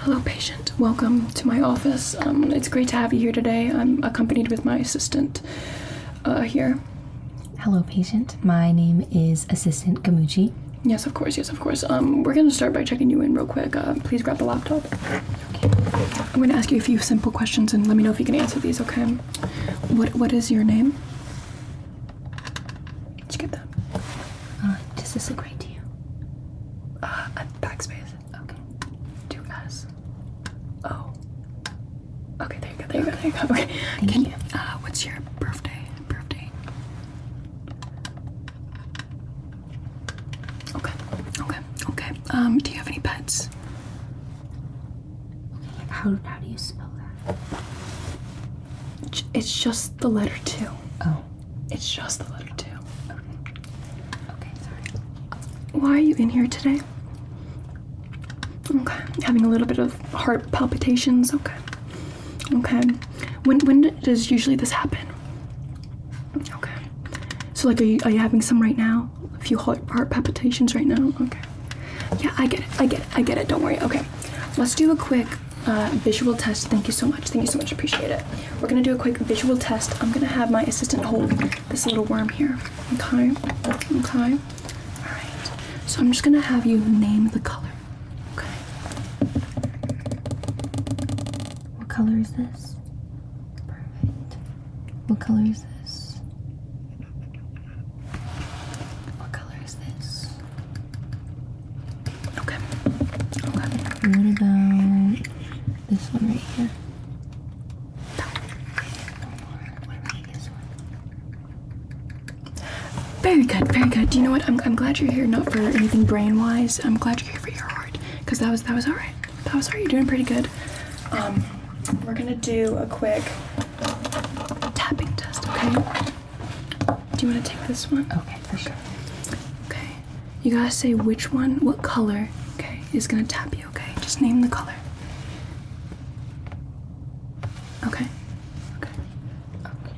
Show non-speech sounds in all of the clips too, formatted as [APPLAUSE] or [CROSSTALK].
Hello, patient. Welcome to my office. Um, it's great to have you here today. I'm accompanied with my assistant uh, here. Hello, patient. My name is Assistant Gamuchi. Yes, of course. Yes, of course. Um, we're going to start by checking you in real quick. Uh, please grab the laptop. I'm going to ask you a few simple questions and let me know if you can answer these, okay? What What is your name? Did you get that? Uh, does this look right to you? Uh, I'm backspace. Okay. Do S. O. Oh. Okay, there you go. There you go. There you go. Okay. Thank Can you. Uh, what's your birthday? Birthday. Okay. Okay. Okay. Um, do you have any pets? Okay. How how do you spell that? It's just the letter two. Oh. It's just the letter two. Okay. Okay, sorry. Why are you in here today? Okay. Having a little bit of heart palpitations. Okay. Okay. When when does usually this happen? Okay. So like, are you are you having some right now? A few heart, heart palpitations right now. Okay. Yeah, I get it. I get it. I get it. Don't worry. Okay. Let's do a quick uh, visual test. Thank you so much. Thank you so much. Appreciate it. We're gonna do a quick visual test. I'm gonna have my assistant hold this little worm here. Okay. Okay. All right. So I'm just gonna have you name the color. Okay. What color is this? Perfect. What color is this? What color is this? Okay. What about this one right here? Very good, very good. Do you know what? I'm, I'm glad you're here, not for anything brain-wise. I'm glad you're here for your heart, because that was that was all right. That was all right. You're doing pretty good. Um, we're gonna do a quick tapping test, okay? Do you want to take this one? Okay, for sure. Okay. You gotta say which one, what color, okay, is gonna tap you, okay? Just name the color. Okay. Okay. Okay.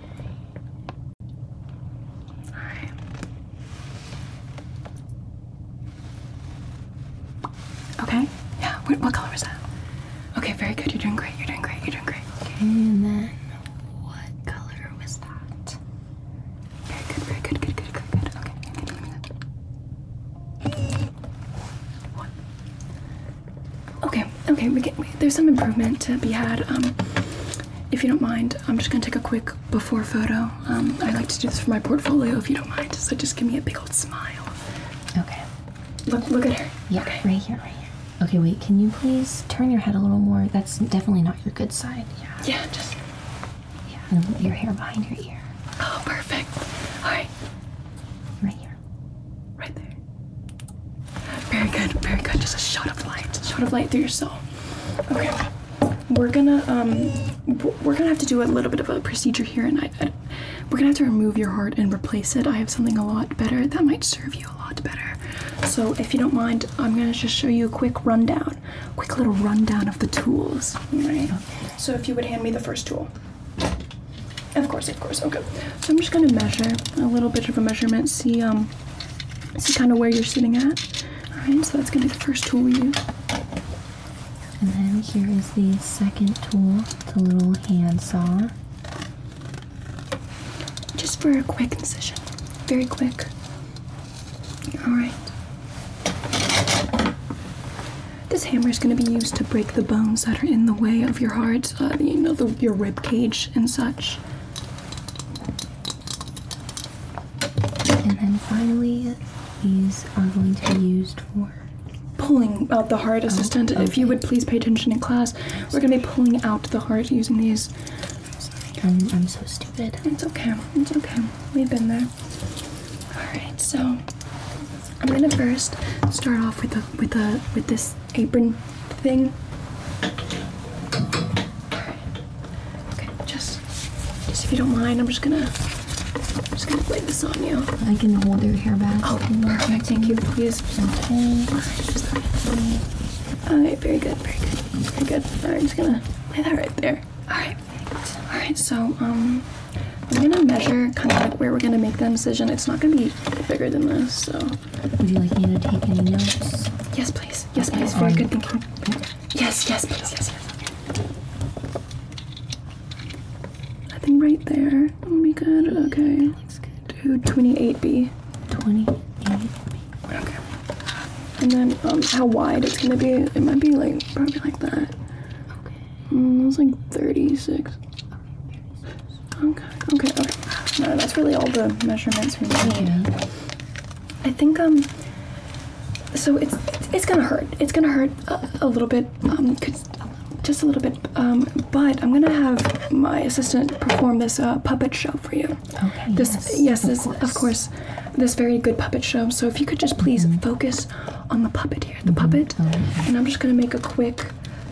Alright. Okay? Yeah. What, what color was that? Okay, very good. You're doing great. You're doing great. You're doing great. Okay, and then what color was that? Very good, very good, good, good, good, good. Okay, okay, give me that. One. Okay, okay, we can, we, there's some improvement to be had. Um, if you don't mind, I'm just gonna take a quick before photo. Um, I like to do this for my portfolio if you don't mind, so just give me a big old smile. Okay. Look, look at her. Yeah, right here, right here. Okay, wait. Can you please turn your head a little more? That's definitely not your good side. Yeah. Yeah, just. Yeah, and your hair behind your ear. Oh, perfect. All right. Right here. Right there. Very good, very good. Just a shot of light. Shot of light through your soul. Okay. We're gonna um, we're gonna have to do a little bit of a procedure here, and I we're gonna have to remove your heart and replace it. I have something a lot better that might serve you a lot better. So, if you don't mind, I'm gonna just show you a quick rundown, quick little rundown of the tools. All right. So, if you would hand me the first tool. Of course, of course. Okay. So I'm just gonna measure a little bit of a measurement. See, um, see kind of where you're sitting at. All right. So that's gonna be the first tool we use. And then here is the second tool, the little hand saw. Just for a quick incision, very quick. Alright. This hammer is going to be used to break the bones that are in the way of your heart, uh, you know, your rib cage and such. And then finally, these are going to be used for pulling out the heart, assistant. Oh, if you would please pay attention in class, we're going to be pulling out the heart using these. I'm, so stupid. It's okay. It's okay. We've been there. All right. So I'm gonna first start off with a with a with this apron thing. Okay. Just, just if you don't mind, I'm just gonna, I'm just gonna lay this on you. I can hold your hair back. Oh, perfect. Thank you. Please. Okay. Very good. Very good. Very good. All right. I'm just gonna lay that right there. All right. All right. So, um. I'm gonna measure kind of like where we're gonna make the incision. It's not gonna be bigger than this, so. Would you like me to take any notes? Yes, please. Yes, please. Very um, good thinking. Yes, yes, please, yes, yes. I think right there would be good. Okay. Looks good. Dude, 28B. 28B. Okay. And then um, how wide it's gonna be? It might be like probably like that. Okay. Mm, that's like 36. Okay, Okay. Okay. No, that's really all the measurements we need. I think um so it's it's gonna hurt. It's gonna hurt a, little bit, um, just a little bit. Um, but I'm gonna have my assistant perform this uh, puppet show for you. Okay. yes, yes of course. this very good puppet show. So if you could just please mm-hmm. focus on the puppet here, the puppet, mm-hmm. and I'm just gonna make a quick,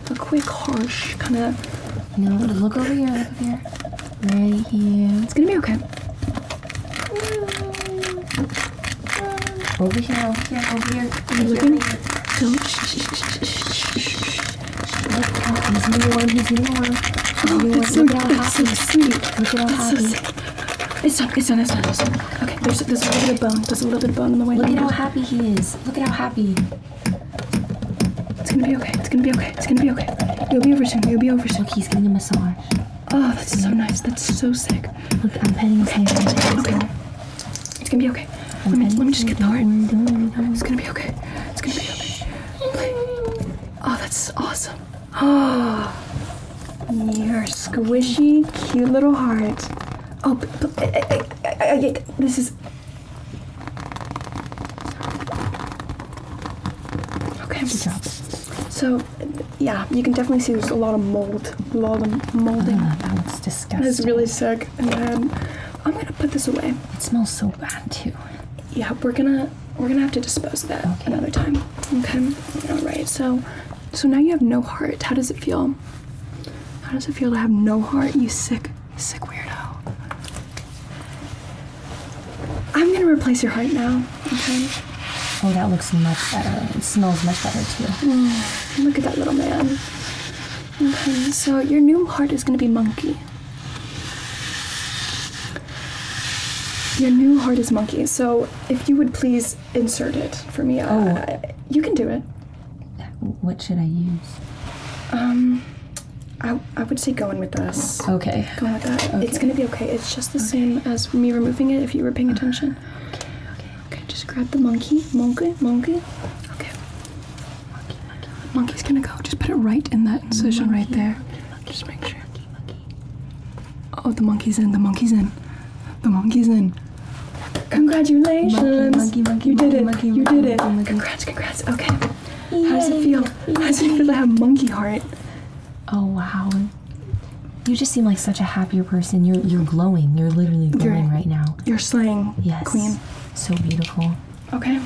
a quick harsh kind of. look over here. Look over here right here. It's gonna be okay. Over here, over here, over here. Are you looking? Don't. Shh, shh, shh, shh, shh. Look out, he's warm, he's warm. Oh, warm. That's so, Look at how happy. That's so sweet. Look at how happy. So it's done, it's done, it's done, it's done. Okay, there's, there's a little bit of bone. There's a little bit of bone in the way. Look at how happy he is. Look at how happy. It's gonna be okay. It's gonna be okay. It's gonna be okay. You'll be over soon. You'll be over soon. he's getting a massage. Oh, that's so nice. That's so sick. Look, I'm petting his hand. Okay. It's gonna be okay. let me, just get the heart. It's gonna be okay. It's gonna be okay. Oh, that's awesome. Oh, your squishy, cute little heart. Oh, I, this is Okay. So, yeah, you can definitely see there's a lot of mold, a lot of molding. Uh, that looks disgusting. That's really sick. And then I'm gonna put this away. It smells so bad too. Yeah, we're gonna we're gonna have to dispose of that another time. Okay. All right. So, so now you have no heart. How does it feel? How does it feel to have no heart? You sick Sick weirdo. I'm gonna replace your heart now, okay? Oh, that looks much better. It smells much better too. Mm, look at that little man. Okay, so your new heart is gonna be monkey. Your new heart is monkey, so if you would please insert it for me. Oh. Uh, you can do it. What should I use? Um, I, I would say go in with this. Okay. Go with that. It's gonna be okay. It's just the same as me removing it if you were paying uh-huh. attention. okay, okay. Okay, just grab the monkey. Monkey, monkey. Okay. Monkey, monkey. Monkey's gonna go. Just put it right in that incision right there. just make sure. Monkey, monkey. Oh, the monkey's in. The monkey's in. The monkey's in. Congratulations! you did it! you did it! Congrats! Congrats! Okay. Yay. How does it feel? Yay. How does it feel to have monkey heart? Oh wow! You just seem like such a happier person. You're you're glowing. You're literally glowing right now. You're slaying, yes. queen. So beautiful. Okay.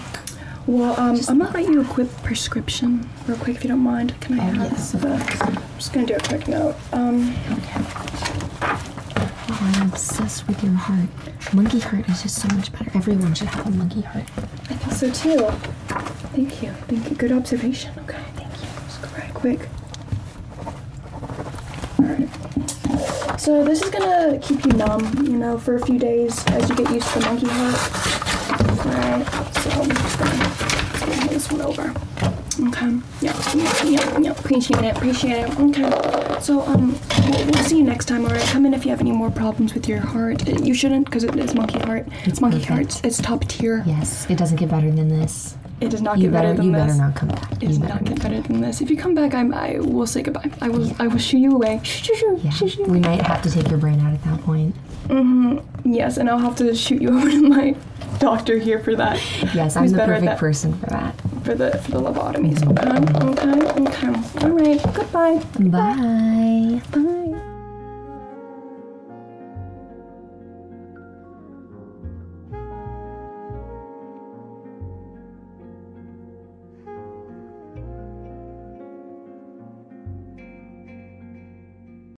Well, um, I'm gonna write you a quick prescription real quick if you don't mind. Can I have oh, have yes, the? I'm just gonna do a quick note. Um, I'm obsessed with your heart. Monkey heart is just so much better. Everyone should have a monkey heart. I think so too. Thank you. Thank you. Good observation. Okay, thank you. Just quick. So this is gonna keep you numb, you know, for a few days as you get used to the monkey heart. Alright, so I'm just gonna, this one over. Okay. Yep, yep, yep, yep. Appreciate it, appreciate it. Okay. So, um, we'll, we'll see you next time, alright? Come in if you have any more problems with your heart. It, you shouldn't, because it, it's monkey heart. It's monkey perfect. heart. It's, it's top tier. Yes, it doesn't get better than this. It does not you get better, better than you this. You better not come back. It you does not get better than this. If you come back, I'm, I will say goodbye. I will, yeah. I will shoo you away. Shoo, shoo, shoo, yeah. shoo, shoo. We might have to take your brain out at that point. Mm-hmm yes, and I'll have to shoot you [LAUGHS] over to my doctor here for that. Yes, I'm the perfect person for that. For the for the lobotomies. okay, okay, All right. Goodbye. Bye. Bye.